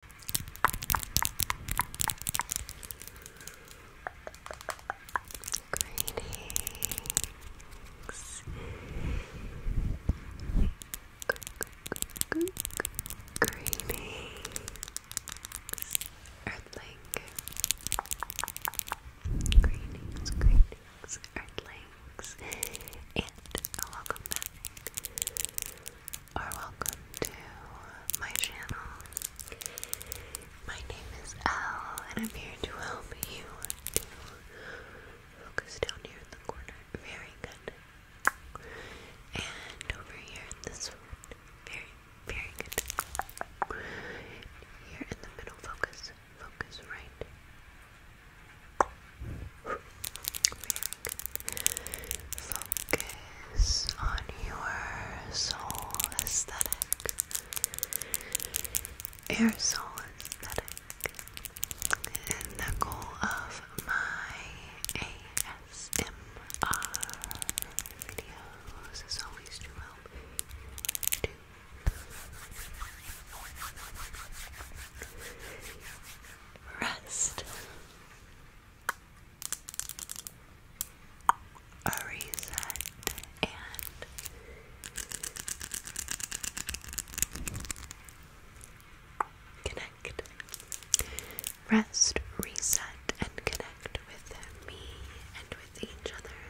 Greetings. Greetings. Earthling. Greetings, greetings, earthlings. And welcome back are welcome to my channel. My name is Elle, and I'm here to help you focus down here in the corner. Very good. And over here in this one. Very, very good. Here in the middle, focus. Focus right. Focus on your soul aesthetic. Your soul aesthetic. And the goal of my ASMR videos is always to help you to rest a reset and connect. Rest, reset, and connect with me and with each other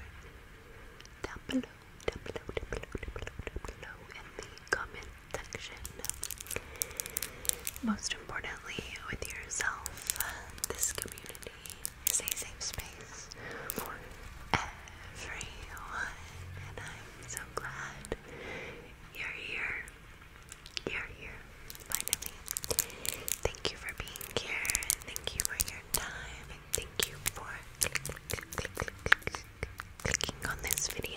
down below, down below, down below, down below, down below in the comment most importantly, with yourself, this community is a safe space for everyone, and I'm so glad you're here. You're here, finally. Thank you for being here, thank you for your time, thank you for clicking on this video.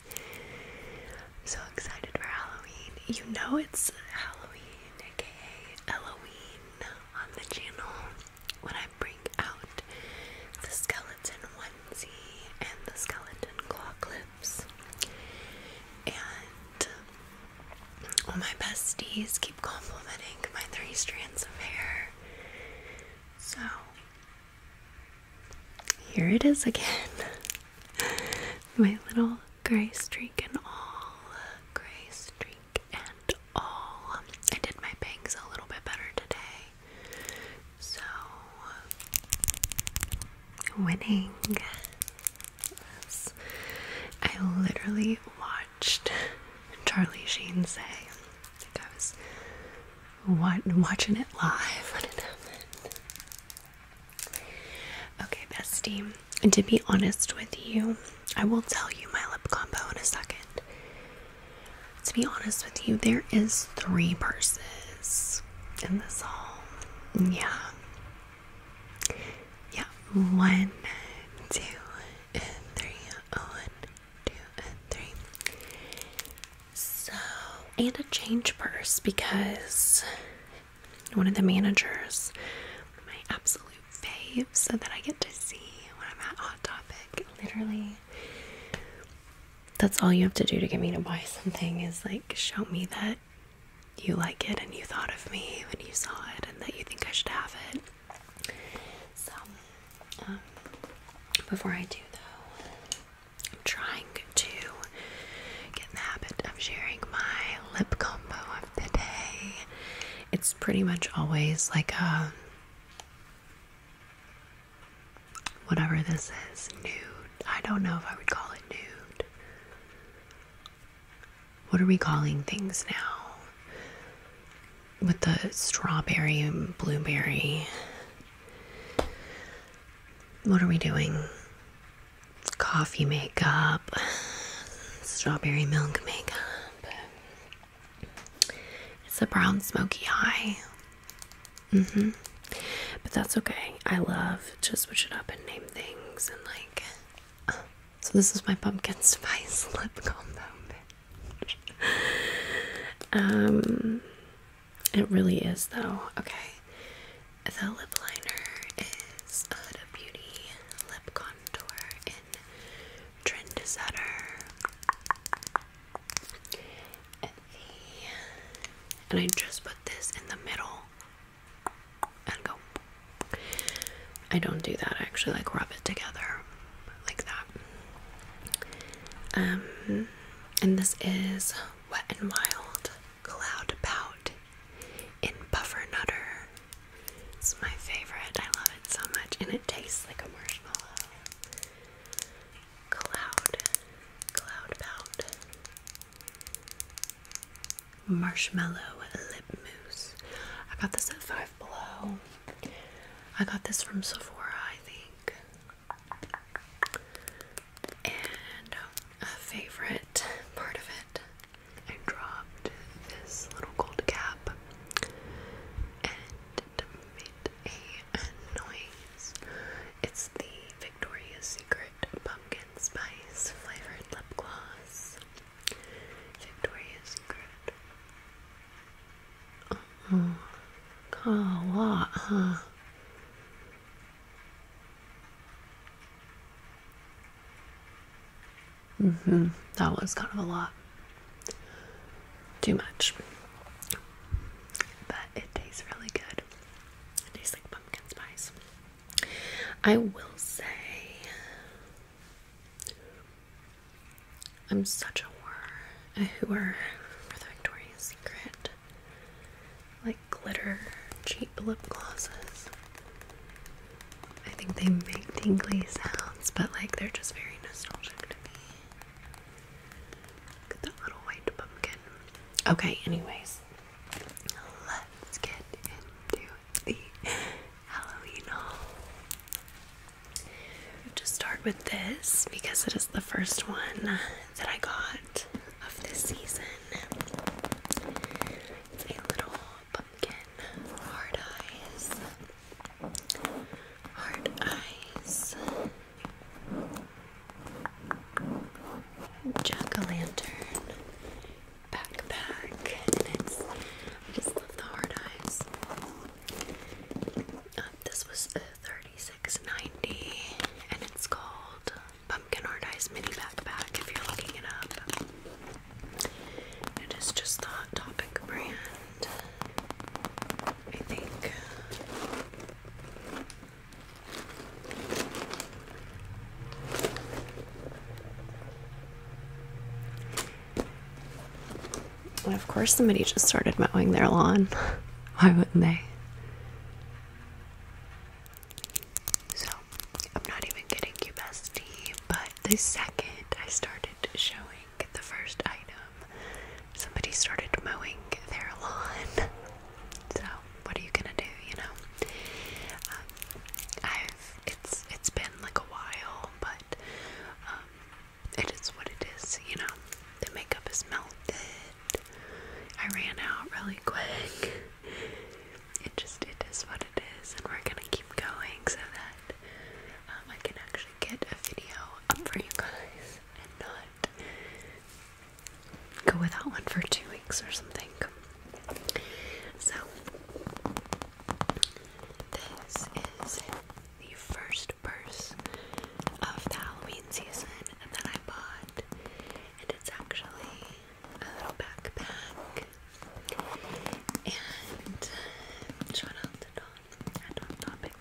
So excited for Halloween. You know it's Halloween, aka Halloween, on the channel when I bring out the skeleton onesie and the skeleton claw clips. And all my besties keep complimenting my three strands of hair. So here it is again. My little gray streak and all. Gray streak and all. I did my bangs a little bit better today. So, winning. I literally watched Charlie Sheen say, I think I was watching it live when happened. Okay, bestie. And to be honest with you, I will tell you my lip combo in a second. To be honest with you, there is three purses in this haul. Yeah. Yeah. One, two, and three. One, two, and three. So, and a change purse because one of the managers, my absolute fave, so that I get to see when I'm at Hot Topic. Literally, that's all you have to do to get me to buy something is like show me that you like it and you thought of me when you saw it and that you think I should have it. So, um, before I do though, trying to get in the habit of sharing my lip combo of the day. It's pretty much always like um, whatever this is, nude. I don't know if I would call it nude. What are we calling things now? With the strawberry and blueberry. What are we doing? coffee makeup, strawberry milk makeup. It's a brown smoky eye. hmm. But that's okay. I love to switch it up and name things and like. so this is my pumpkin spice lip combo. um, it really is, though. Okay. The lip liner is Huda Beauty Lip Contour in Trendsetter. And and I just put this in the middle and go. I don't do that. I actually like rub it together like that. Um, and this is Wet and Wild, Cloud Pout, in Buffer Nutter. It's my favorite. I love it so much, and it tastes like a marshmallow. Cloud, Cloud Pout, Marshmallow Lip Mousse. I got this at Five Below. I got this from Sephora, I think. And um, a favorite part of it, I dropped this little gold cap and to a noise, it's the Victoria's Secret Pumpkin Spice Flavored Lip Gloss. Victoria's Secret. Oh, got a lot, huh? Mm -hmm. That was kind of a lot. Too much. But it tastes really good. It tastes like pumpkin spice. I will say, I'm such a whore, a whore for the Victoria's Secret. Like, glitter cheap lip glosses. I think they make tingly sounds, but like they're just very nostalgic to me. Look at that little white pumpkin. Okay, anyways, let's get into the Halloween Just start with this because it is the first one that I got of this season. It's a little pumpkin hard eyes. Hard eyes. Jack lantern backpack. I just love the hard eyes. Um, this was 36.90 and it's called pumpkin hard eyes mini backpack if you're looking it up. It is just the Topic brand, I think. of course, somebody just started mowing their lawn. Why wouldn't they? So, I'm not even getting you bestie, but the second I started showing the first item, somebody started mowing their lawn. So, what are you gonna do, you know? Um, I've, it's, it's been like a while, but, um, it is what it is, you know? The makeup is melted, I ran out really quick. It just it is what it is, and we're gonna keep going so that um, I can actually get a video up for you guys and not go without one for two weeks or something. So this is the first purse of the Halloween season that I bought, and it's actually a little backpack and uh, shout out to Dawn and on topic,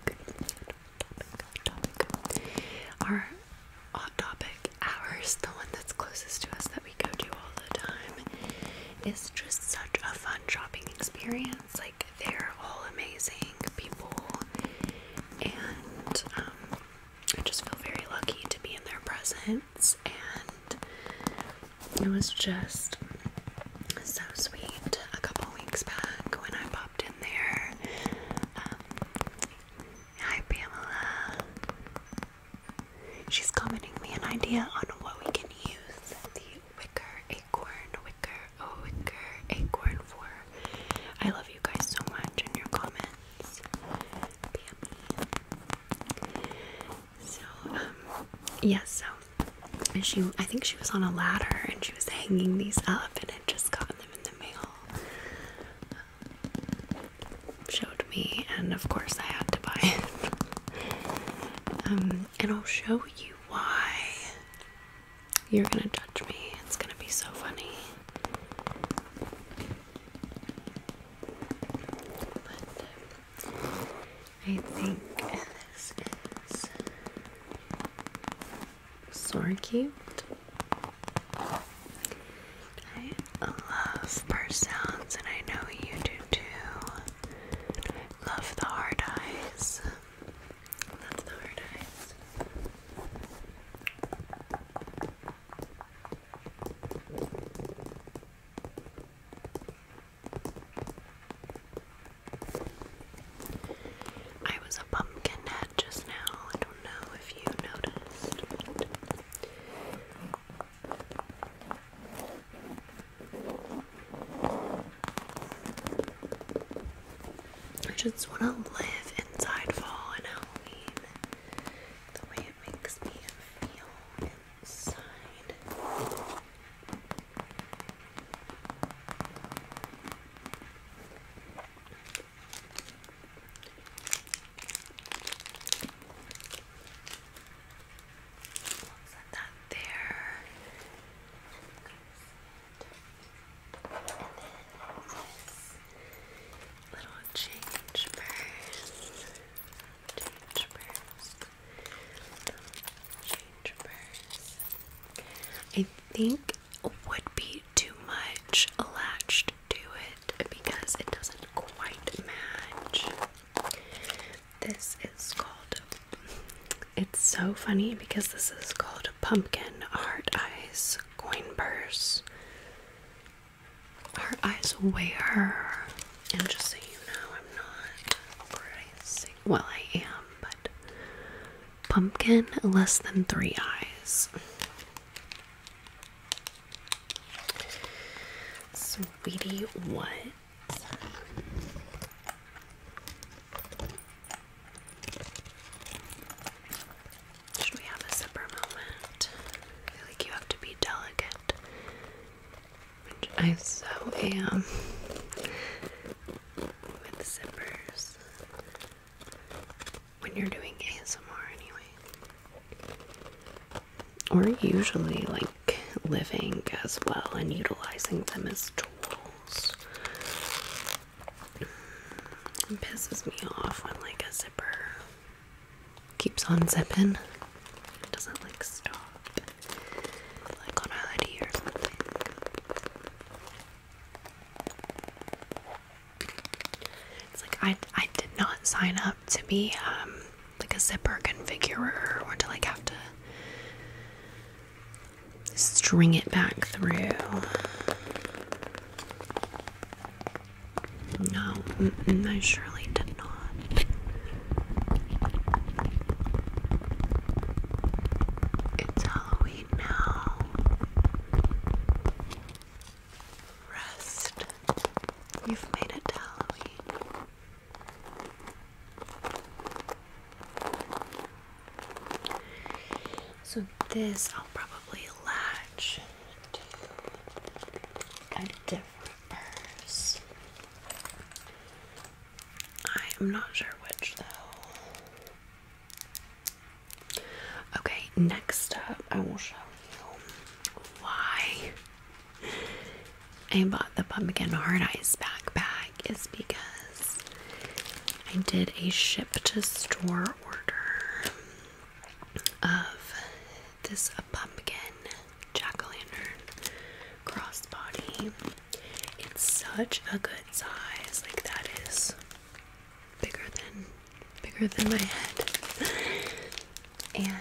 topic, topic. Our on topic hours, the one that's closest to us that we go to all the time, is just such a fun shopping experience. Like they're all amazing people and um I just feel very lucky to be in their presence, and it was just so sweet. A couple weeks back, when I popped in there, um, hi Pamela. She's commenting me an idea on what we can use the wicker acorn, wicker, oh, wicker acorn for. I love you guys so much and your comments. So, um, yes, so she, I think she was on a ladder and she was hanging these up and had just gotten them in the mail. Um, showed me, and of course I had to buy it. Um, and I'll show you why. You're gonna judge me. It's gonna be so funny. I think this is so cute. I love purse sounds, and I know you do too. Love the hard eyes. Love the hard eyes. I was a pumpkin head just now. I don't know if you noticed. I just want to live inside fall and Halloween the way it makes me feel inside. let that there. And then little change purse. Change purse. Change purse. I think would be too much attached to it because it doesn't quite match. This is called it's so funny because this is called pumpkin heart eyes coin purse her eyes wear. And just so you know, I'm not crazy. Well, I am, but pumpkin less than three eyes. Sweetie, what? Should we have a zipper moment? I feel like you have to be delicate. I so am with zippers. When you're doing ASMR anyway. Or usually like living as well and utilizing them as tools. It pisses me off when like a zipper keeps on zipping. It doesn't like stop. Like on a hoodie or something. It's like I I did not sign up to be um like a zipper configurer or to like have to string it back through. No, I surely did not. It's Halloween now. Rest. You've made it Halloween. So, this I'll probably lag collection different purses. I am not sure which though. Okay, next up, I will show you why I bought the pumpkin Heart eyes backpack is because I did a ship to store order of this pumpkin jack-o'-lantern crossbody. It's such a good size. Like that is bigger than bigger than my head. and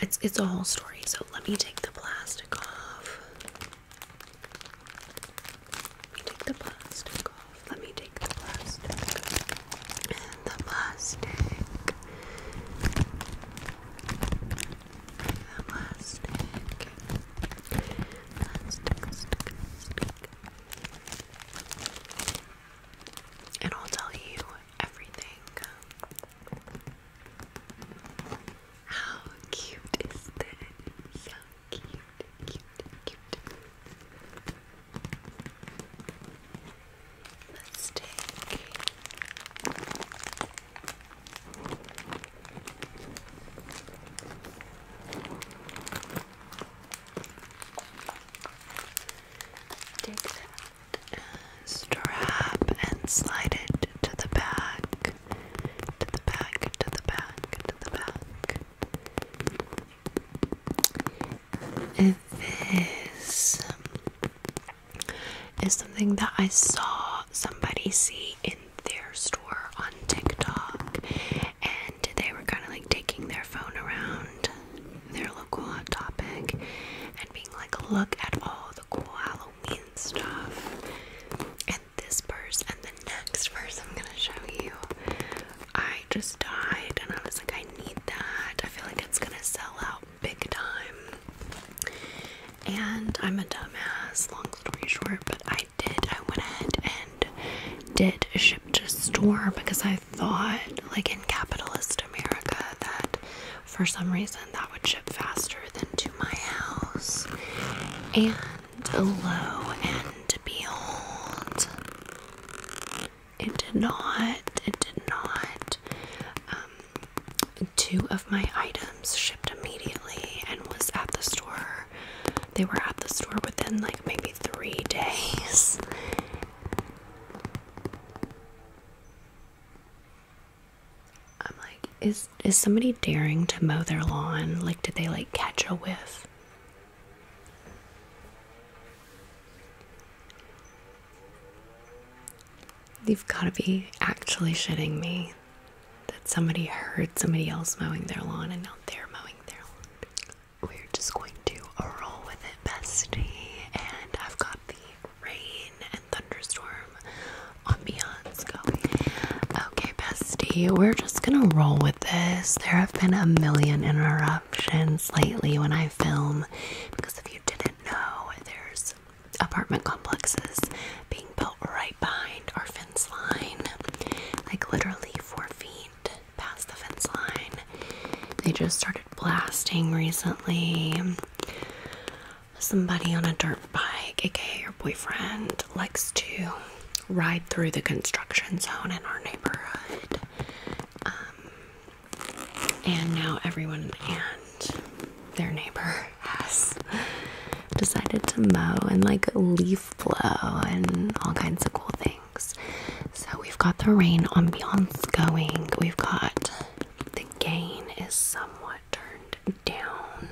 it's it's a whole story, so let me take the plastic off. Take the plastic off. Let me take the plastic. And the plastic. The plastic. Plastic, stick, And I'll tell you everything. How cute is this? cute, cute, Let's take Take that strap and slide it to the back, to the back, to the back, to the back. This is something that I saw somebody see in their store on TikTok, and they were kind of like taking their phone around their local Hot Topic and being like, Look at all the cool Halloween stuff this purse and the next purse I'm gonna show you. I just died and I was like, I need that. I feel like it's gonna sell out big time. And I'm a dumbass, long story short, but I did. I went ahead and did ship to store because I thought, like in capitalist America, that for some reason that would ship faster than to my house. And and lo and behold it did not it did not um, two of my items shipped immediately and was at the store they were at the store within like maybe three days I'm like, is is somebody daring to mow their lawn? Like, did they like catch a whiff? you have got to be actually shitting me that somebody heard somebody else mowing their lawn and now they're mowing their lawn. We're just going to roll with it, bestie. And I've got the rain and thunderstorm ambiance going. Okay, bestie, we're just gonna roll with this. There have been a million interruptions lately when I film because if you didn't know, there's apartment complexes being built right behind our fence line, like literally four feet past the fence line. They just started blasting recently. Somebody on a dirt bike, aka your boyfriend, likes to ride through the construction zone in our neighborhood. Um, and now everyone and their neighbor has decided to mow and like leaf blow and all kinds of cool things. So we've got the rain ambiance going. We've got the gain is somewhat turned down.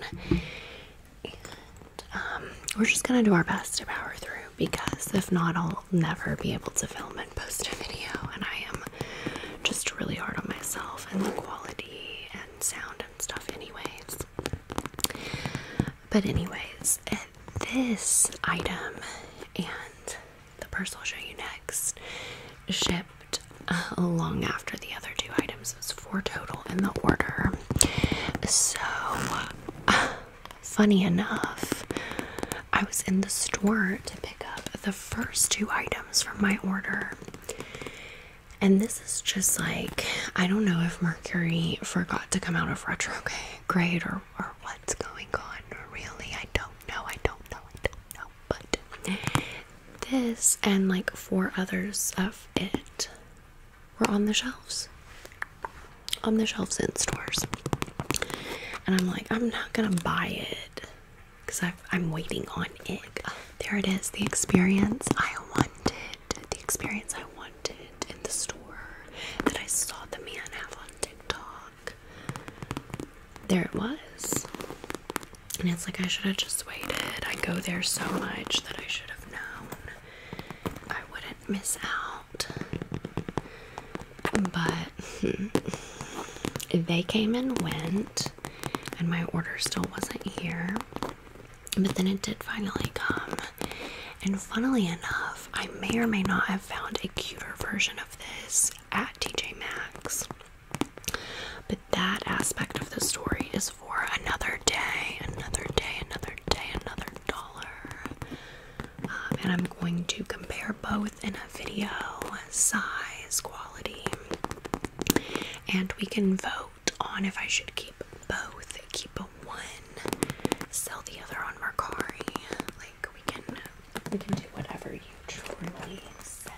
Um, we're just gonna do our best to power through because if not, I'll never be able to film and post a video. And I am just really hard on myself and the quality and sound and stuff, anyways. But, anyways, this item and the purse I'll show you next shipped uh, long after the other two items. It was four total in the order. So, Funny enough, I was in the store to pick up the first two items from my order. And this is just like, I don't know if Mercury forgot to come out of retrograde or, or what's going on. Really, I don't know. I don't know. I don't know. But this and like four others of it we're on the shelves. On the shelves in stores. And I'm like, I'm not gonna buy it because I'm waiting on it. There it is, the experience I wanted. The experience I wanted in the store that I saw the man have on TikTok. There it was. And it's like, I should have just waited. I go there so much that I should have known. I wouldn't can't miss out. But they came and went, and my order still wasn't here. But then it did finally come. And funnily enough, I may or may not have found a cuter version of this at TJ Maxx. But that aspect of the story is for another day, another day, another day, another um, and I'm going to compare both in a video size quality and we can vote on if I should keep both keep a one sell the other on Mercari like we can we can do whatever you truly say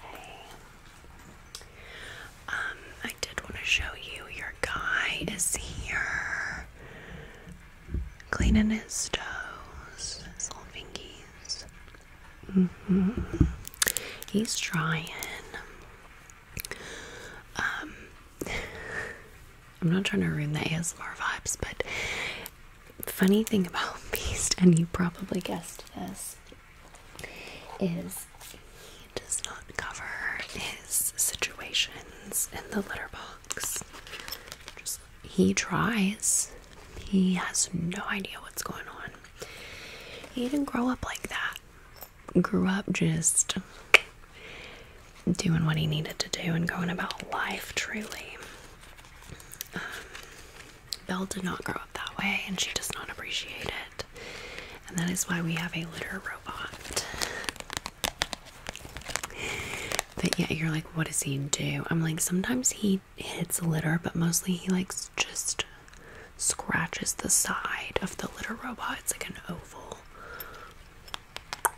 um I did want to show you your guide is here cleaning his toes, his little fingies. Mm -hmm. He's trying. Um, I'm not trying to ruin the ASMR vibes, but funny thing about Beast, and you probably guessed this, is he does not cover his situations in the litter box he tries. He has no idea what's going on. He didn't grow up like that. Grew up just doing what he needed to do and going about life truly. Um, Belle did not grow up that way and she does not appreciate it. And that is why we have a litter robot. But yeah, you're like, what does he do? I'm like, sometimes he hits litter, but mostly he likes just scratches the side of the litter robot. It's like an oval.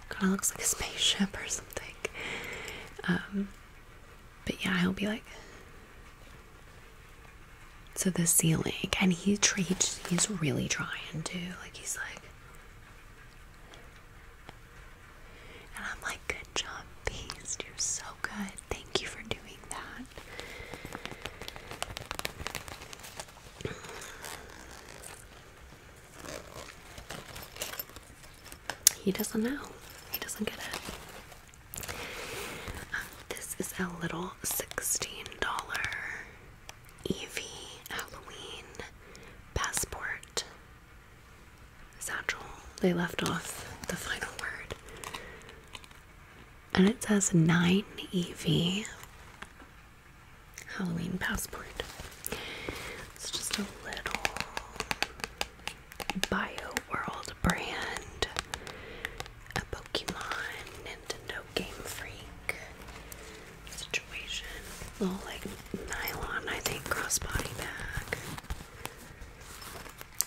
Kind of looks like a spaceship or something. Um, but yeah, he'll be like. to the ceiling, and he treats. He's really trying to. Like he's like, and I'm like, good job, Beast. You're so good. Thank you for doing that. He doesn't know. He doesn't get it. Um, this is a little $16 Evie Halloween Passport Satchel. They left off the final word. And it says 9 EV Halloween Passport. It's just a little Bio World brand, a Pokemon, Nintendo Game Freak situation. Little like nylon, I think, crossbody bag.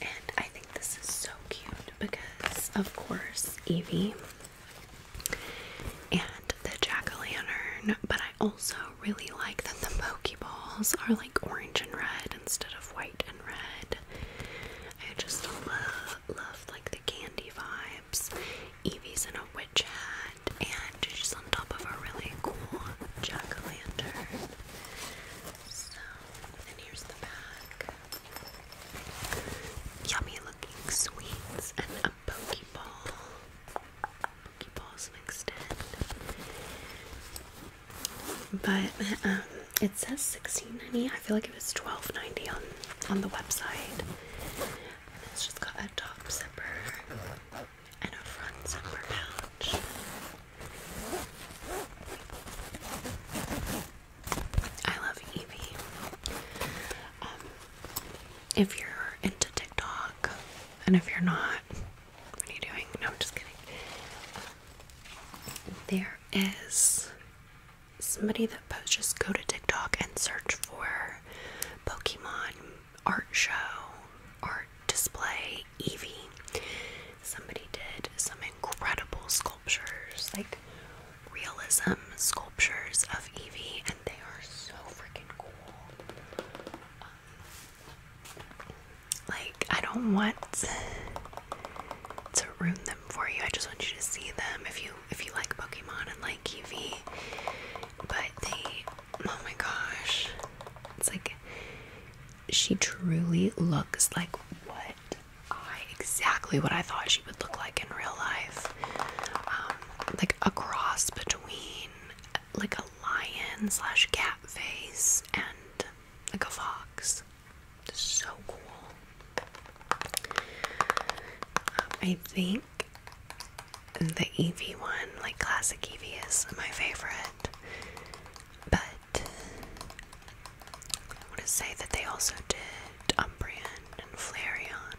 And I think this is so cute because, of course, Evie and the jack o' lantern. But I also really like that the Pokeballs are like orange and red instead of white and red. I just love, love like the candy vibe. Evie's in a witch hat, and she's on top of a really cool jack o' lantern. So, and here's the back. Yummy looking sweets and a pokeball. Pokeballs mixed in. But um, it says 16.90. I feel like it was 12.90 on on the website. It's just got a top zipper and a front zipper pouch. I love Evie. Um, if you're into TikTok, and if you're not, what are you doing? No, I'm just kidding. There is somebody that posts, just go to TikTok and search for Pokemon art show, art display, Evie. Somebody did some incredible sculptures, like realism sculptures of Evie, and they are so freaking cool. Um, like, I don't want to ruin them for you. I just want you to see them if you if you like Pokemon and like Eevee but they, oh my gosh, it's like she truly looks like what I exactly what I thought she would look like in real life. Um, like a cross between like a lion slash cat face and like a fox. So cool. Um, I think the EV one, like classic EV, is my favorite. But I want to say that they also did Umbreon and Flareon.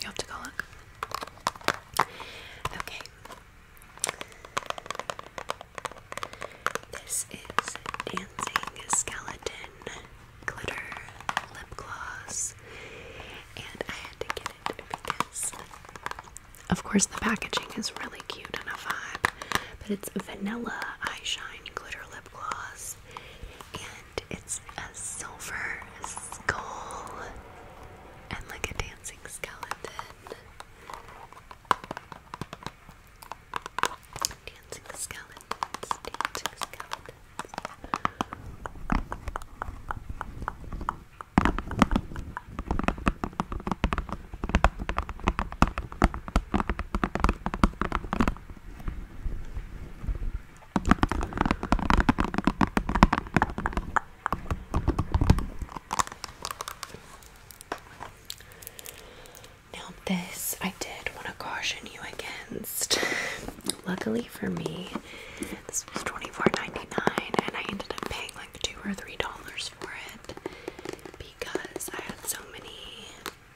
You have to go look. Okay. This is Dancing Skeleton glitter lip gloss, and I had to get it because, of course, the packaging is really cute and a vibe, but it's vanilla eyeshine glitter lip gloss, and it's a silver skull and like a dancing skeleton. Dancing skeleton now, this I did want to caution you against Luckily for me, this was $24.99 and I ended up paying like two or three dollars for it because I had so many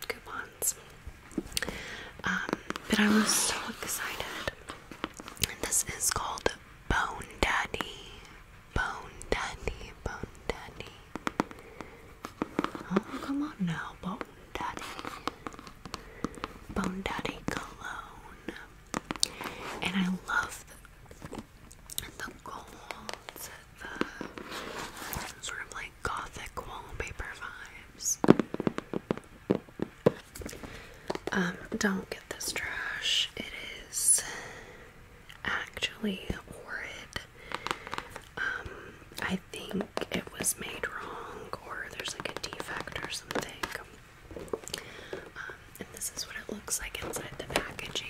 coupons. Um, but I was so excited. And this is called Bone Daddy. Bone Daddy, Bone Daddy. Oh, come on now, Bone Daddy Bone Daddy cologne. And I love the, the sort of like gothic wallpaper vibes. Um, don't get this trash. It is actually horrid. Um, I think it was made wrong or there's like a defect or something. Um, and this is what it looks like inside the packaging.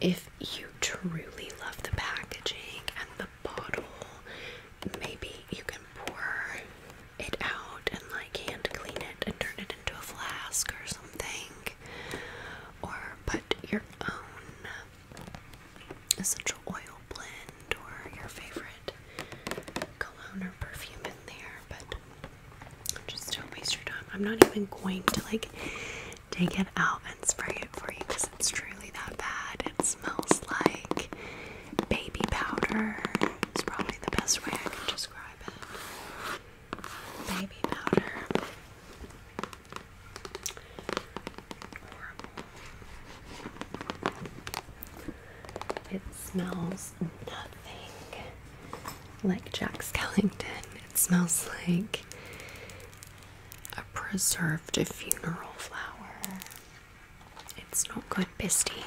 If you truly love the packaging and the bottle, maybe you can pour it out and like hand clean it and turn it into a flask or something. Or put your own essential oil blend or your favorite cologne or perfume in there, but just don't waste your time. I'm not even going to like take it out and spray it for you because it's truly that bad. It smells like baby powder. It's probably the best way I can describe it. Baby powder. It smells nothing like Jack Skellington. It smells like a preserved funeral flower. It's not good, Bisty.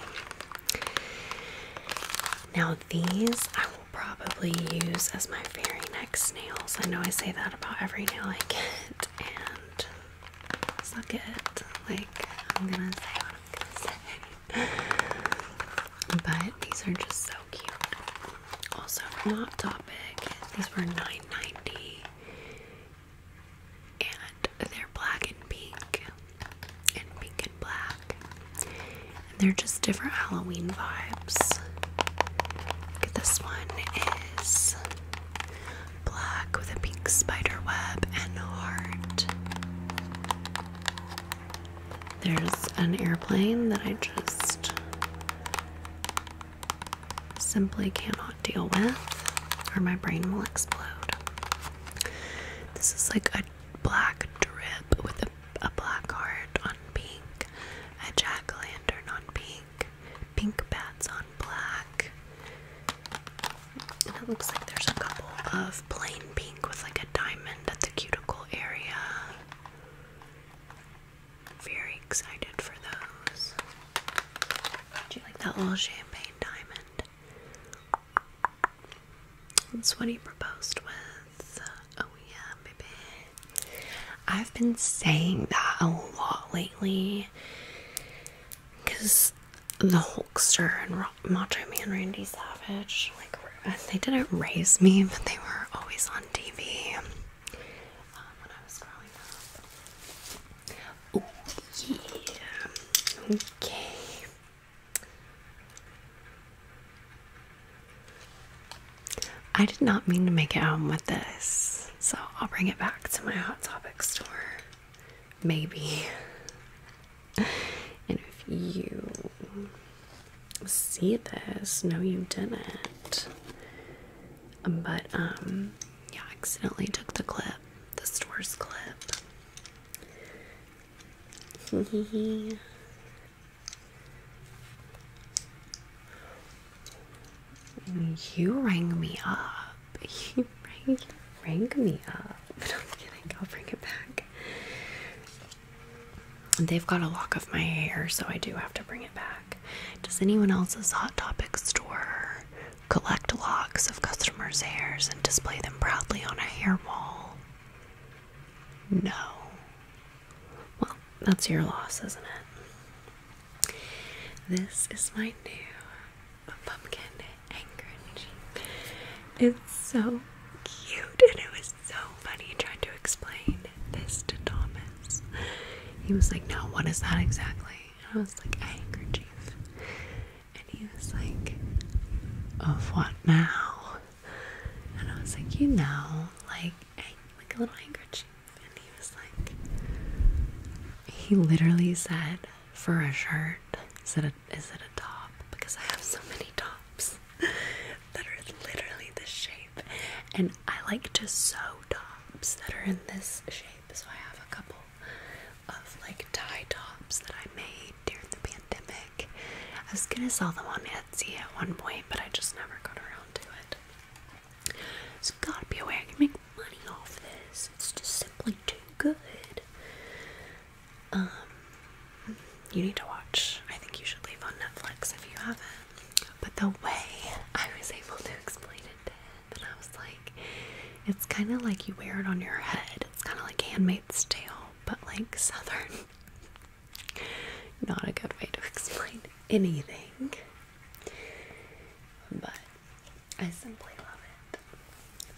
Now, these I will probably use as my very next nails. I know I say that about every nail I get, and suck it. Like, I'm gonna say what I'm gonna say. but these are just so cute. Also, not Topic, these were 9.90, And they're black and pink. And pink and black. And they're just different Halloween vibes. this one is black with a pink spider web and heart. There's an airplane that I just simply cannot deal with, or my brain will explode. This is like a black drip with a black heart on pink, a jack o' lantern on pink, pink bats on black, it looks like there's a couple of plain pink with like a diamond at the cuticle area. Very excited for those. Do you like that little champagne diamond? That's what he proposed with. Uh, oh, yeah, maybe. I've been saying that a lot lately because the Hulkster and Rock, Macho Man Randy Savage, like they didn't raise me, but they were always on TV um, when I was growing up. yeah, okay. I did not mean to make it home with this, so I'll bring it back to my Hot Topic store. Maybe. and if you see this, no, you didn't. But, um, yeah, accidentally took the clip, the store's clip. you rang me up up. You rang, rang me up. I'm kidding. I'll bring it back. They've got a lock of my hair, so I do have to bring it back. Does anyone else's Hot Topic store collect locks of customers' hairs and display them proudly on a hair wall? No. Well, that's your loss, isn't it? This is my new pumpkin handkerchief. It's so cute, and it was so funny. trying to explain this to Thomas. He was like, No, what is that exactly? And I was like, A handkerchief. And he was like, Of what now? And I was like, You know, like, like a little handkerchief. And he was like, He literally said, for a shirt? Is it a, is it a top? Because I have so many tops that are literally this shape, and I like to sew tops that are in this shape. So I have a couple of like tie tops that I made during the pandemic. I was gonna sell them on Etsy at one point, but I just never got around to it. gotta be a way money off this. It's just simply too good. Um, you need to watch. I think you should leave on Netflix if you haven't. But the way I was able to explain it to and I was like, it's kind of like you wear it on your head. It's kind of like Handmaid's Tale, but like Southern. Not a good way to explain anything. But I simply love it.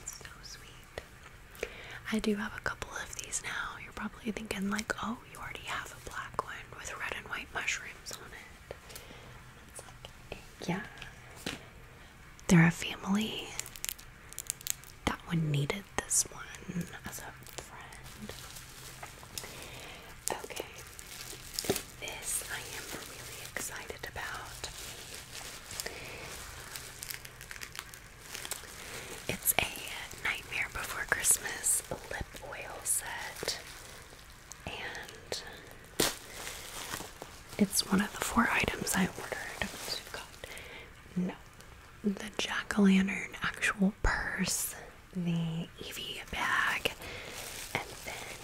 It's so sweet. I do have a couple of these now. You're probably thinking, like, oh, you already have a black one with red and white mushrooms on it. yeah. They're a family. That one needed this one as a friend. Okay. This I am really excited about. It's a Nightmare Before Christmas oil set, and it's one of the four items I ordered. no, the jack o' lantern actual purse, the Evie bag, and then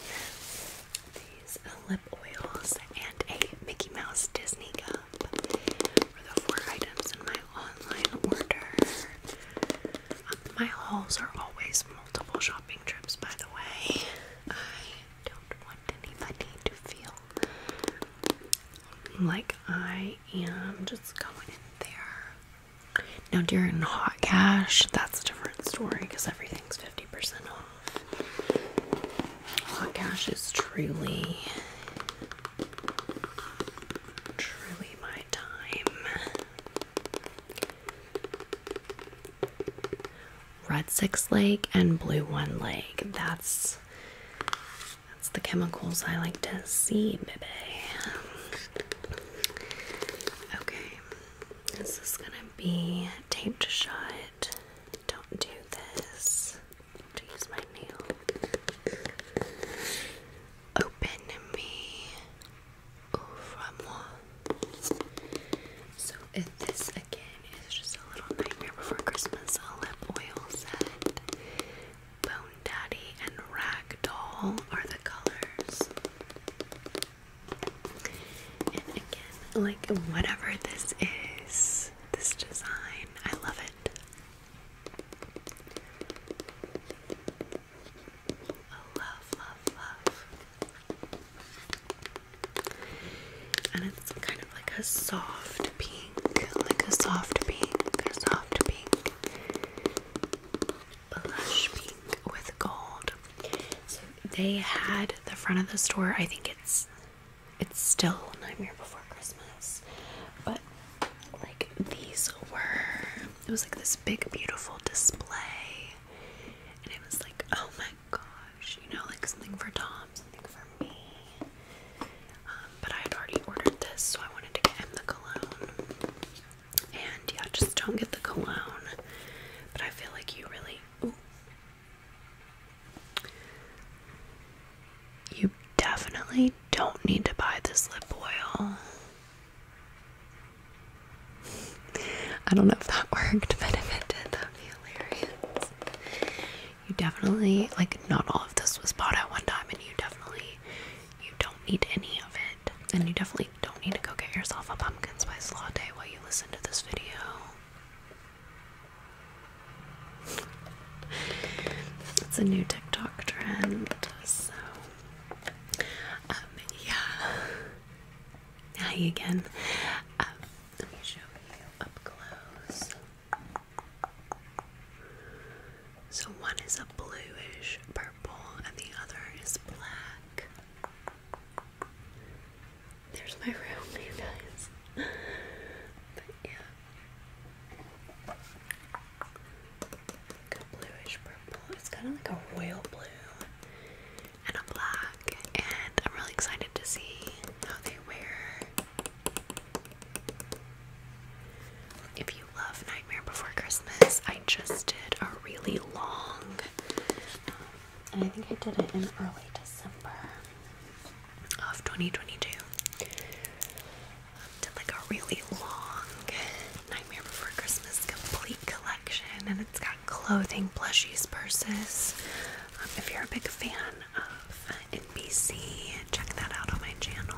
these lip oils and a Mickey Mouse Disney cup were the four items in my online order. Um, my hauls are always multiple shopping trips, by the way. I don't want any anybody to feel like I am just going in there. Now, during hot cash, that's a different story because everything's 50% off. Hot oh Cash is truly, truly my time. Red Six leg and Blue One leg. That's that's the chemicals I like to see, baby. Okay, this is gonna be taped shut. Don't do this. use my nail. Open me. So if this again is just a little nightmare before Christmas, a lip oil set. Bone Daddy and Ragdoll are the colors. And again, like whatever this is, this design, I love it. Oh, love, love, love. And it's kind of like a soft pink, like a soft pink, a soft pink, blush pink with gold. So they had the front of the store, I think it's it's still Nightmare Before Christmas, but like these were, it was like this big, beautiful display, and it was like, oh my gosh, you know, like something for Tom, something for me. Um, but I had already ordered this, so I wanted to get him the cologne. And yeah, just don't get the cologne. But I feel like you really. Ooh, you definitely don't need to buy this lip oil. I don't know if that worked, but if it did, that'd be hilarious. You definitely, like, not all of this was bought at one time, and you definitely, you don't need any of it. And you definitely don't need to go get yourself a pumpkin spice latte while you listen to this video it's a new TikTok trend, so um, yeah. Hi again. Um, let me show you up close. So one is a bluish purple and the other is black. There's my room, you guys. But yeah. a bluish purple. It's kind of like a royal blue and a black. And I'm really excited to see how they wear. If you love Nightmare Before Christmas, I just did a really long, um, and I think I did it in early December of 2022. Um, did like a really long Nightmare Before Christmas complete collection, and it's got clothing, plushies, purses. Um, if you're a big fan of NBC, check that out on my channel.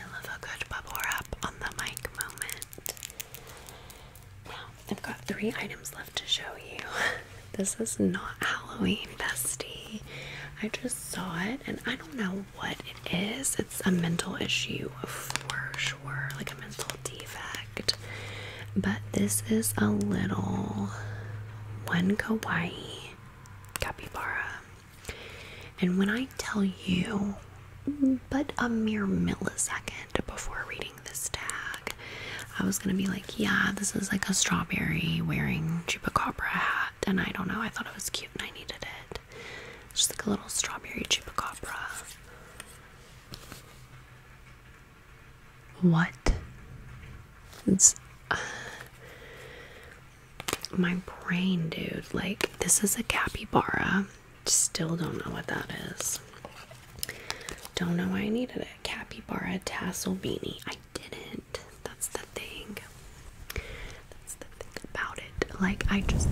I love a good bubble wrap on the mic moment. I've got three items left to show you. This is not Halloween, bestie. I just saw it and I don't know what it is. It's a mental issue for sure, like a mental defect. But this is a little one kawaii capybara. And when I tell you but a mere millisecond before reading this tag, I was gonna be like, yeah, this is like a strawberry wearing chupacabra hat, and I don't know, I thought it was cute and I needed it. just like a little strawberry chupacabra. What? It's my brain, dude. Like, this is a capybara. Still don't know what that is. Don't know why I needed it. Capybara tassel beanie. I didn't. That's the thing. That's the thing about it. Like, I just.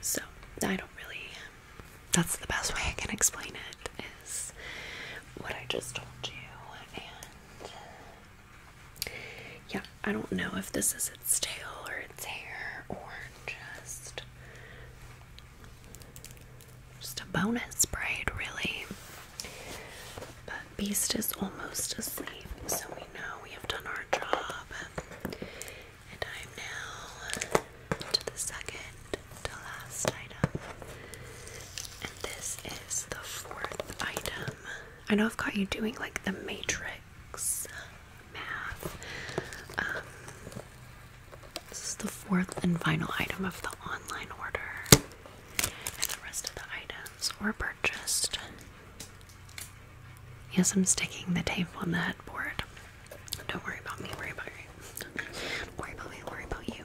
So, I don't really. That's the best way I can explain it is what I just told you, yeah, I don't know if this is its tail or its hair or just just a bonus braid really. But Beast is almost asleep, so we know we have done our job. And I'm now to the second to last item this is the fourth item. I know I've got you doing like the matrix math. Um, this is the fourth and final item of the online order. And the rest of the items were purchased. Yes, I'm sticking the tape on the headboard. Don't worry about me, worry about you. Don't worry about me, worry about you.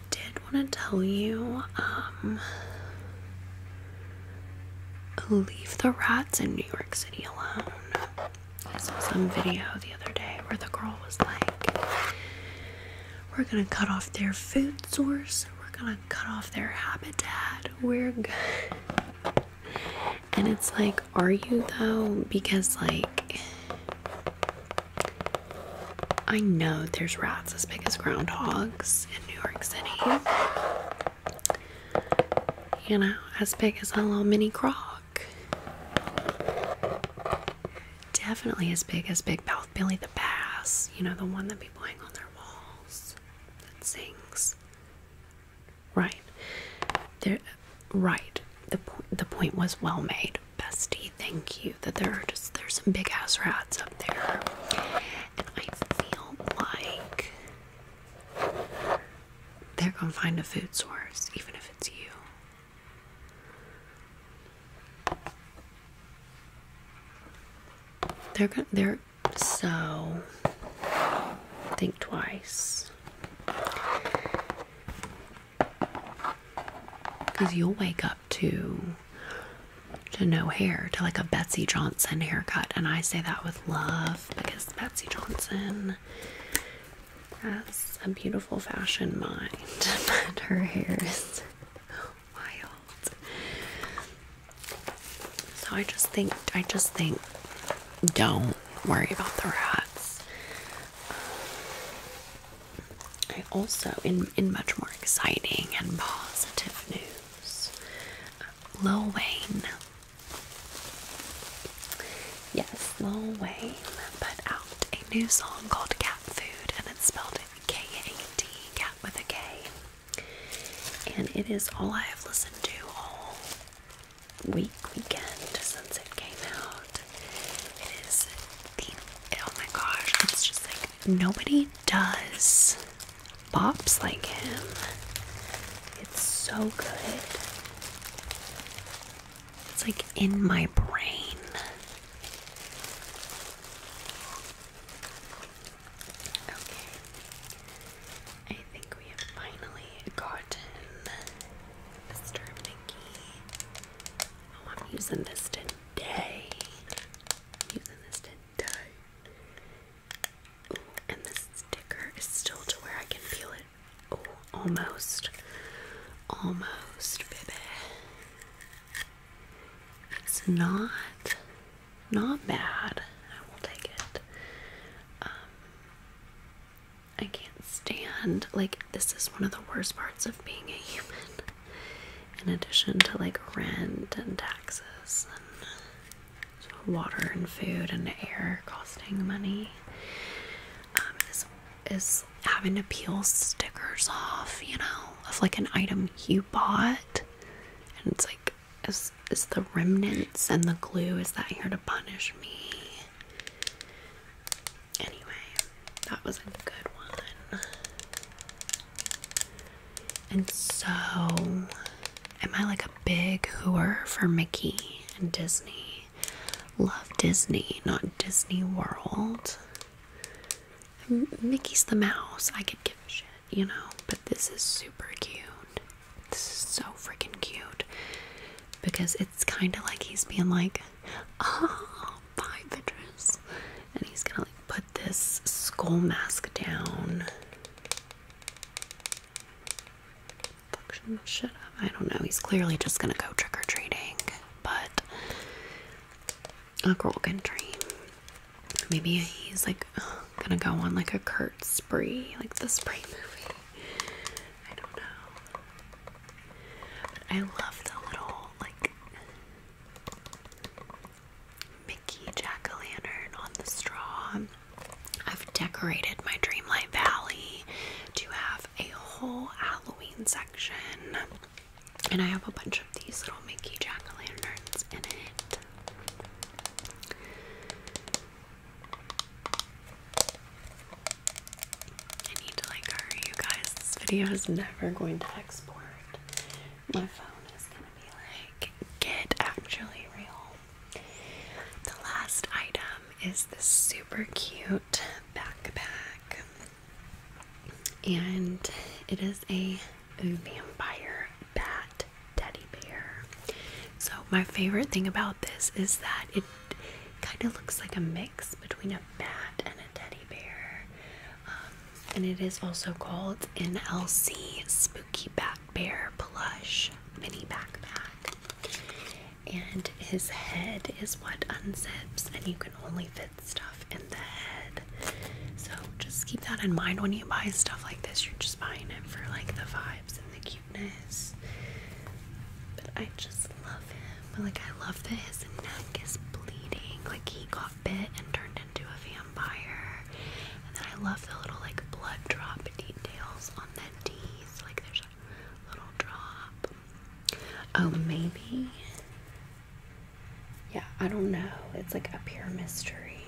I did want to tell you um, leave the rats in New York City alone. I saw some video the other day where the girl was like, We're gonna cut off their food source, we're gonna cut off their habitat, we're good. And it's like, Are you though? Because, like, I know there's rats as big as groundhogs in New York City. You know, as big as a little mini croc. Definitely as big as Big Mouth Billy the Bass. You know, the one that people hang on their walls that sings. Right. There, right. The, the point was well made. Bestie, thank you. That there are just there's some big ass rats up there. And I feel like they're gonna find a food source, even if it's you. They're gonna they're so think twice. Because you'll wake up to to no hair to like a Betsy Johnson haircut and I say that with love because Betsy Johnson has a beautiful fashion mind and her hair is wild so I just think I just think don't worry about the rats also, in in much more exciting and positive news, uh, Lil Wayne. Yes, Lil Wayne put out a new song called Cat Food, and it's spelled K A T, cat with a K. And it is all I have listened to all week, weekend since it came out. It is the, oh my gosh, it's just like nobody does bops like him. It's so good. It's like in my brain. Okay. I think we have finally gotten Mr. Mickey. Oh, I'm using this today using this today. Ooh, and this sticker is still to where I can feel it. Oh, almost. Almost, baby. It's not not bad. I will take it. Um I can't stand like this is one of the worst parts of being a human in addition to like rent and taxes and water and food and air costing money um, is, is having to peel stickers off you know of like an item you bought and it's like is, is the remnants and the glue is that here to punish me anyway that was a good one. And so, am I like a big whoer for Mickey and Disney? Love Disney, not Disney World. Mickey's the mouse. I could give a shit, you know? But this is super cute. This is so freaking cute. Because it's kind of like he's being like, oh, five inches. And he's gonna like put this skull mask down. I don't know. He's clearly just gonna go trick or treating, but a girl can dream. Maybe he's like gonna go on like a Kurt spree, like the spree movie. I don't know. I love the little like Mickey jack o' lantern on the straw. I've decorated my Dreamlight Valley to have a whole Halloween section. And I have a bunch of these little Mickey jack o' lanterns in it. I need to like hurry, you guys. This video is never going to export my phone is gonna be like, get actually real. The last item is this super cute backpack, and it is a vampire bat teddy bear. So, my favorite thing about this is that it kind of looks like a mix between a bat and a teddy bear. Um, and it is also called NLC Spooky Bat Bear Plush Mini Backpack. And his head is what unzips, and you can only fit stuff in the head. So just keep that in mind when you buy stuff like this. You're just buying it for like the vibes and the cuteness. But I just love him. But Like I love that his neck is bleeding. Like he got bit and turned into a vampire. And then I love the little like blood drop details on the teeth. Like there's a little drop. Oh, maybe. Yeah, I don't know. It's like a pure mystery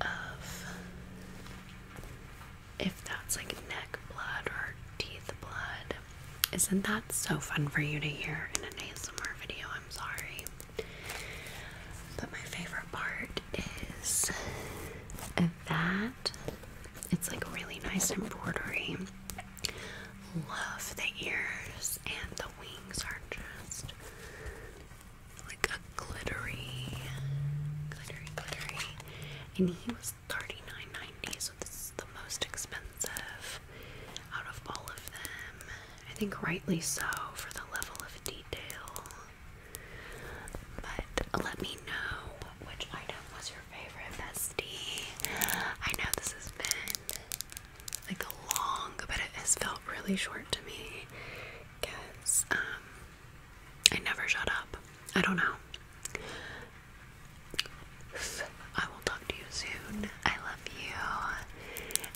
of if that's like neck blood or teeth blood. Isn't that so fun for you to hear in an ASMR video? I'm sorry. But my favorite part is that it's like really nice embroidery. Love the ears and the wings are just like a glittery, glittery, glittery. And he was $39.90, so this is the most expensive out of all of them. I think rightly so for the level of detail. But let me know which item was your favorite bestie. I know this has been like long, but it has felt really short to me because um, I never shut up. I don't know. I will talk to you soon. I love you.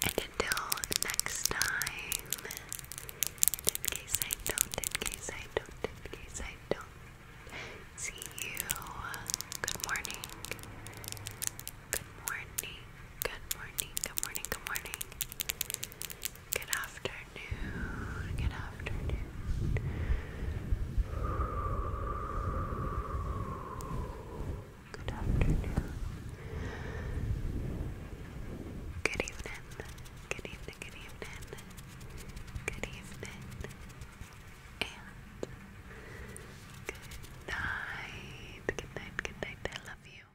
And until next time, and in case I don't, in case I don't, in case I don't see you, good morning. Good morning. Good morning. Good morning. Good morning. Good afternoon. Good afternoon good afternoon, good evening, good evening, good evening, good evening, and good night, good night, good night, I love you.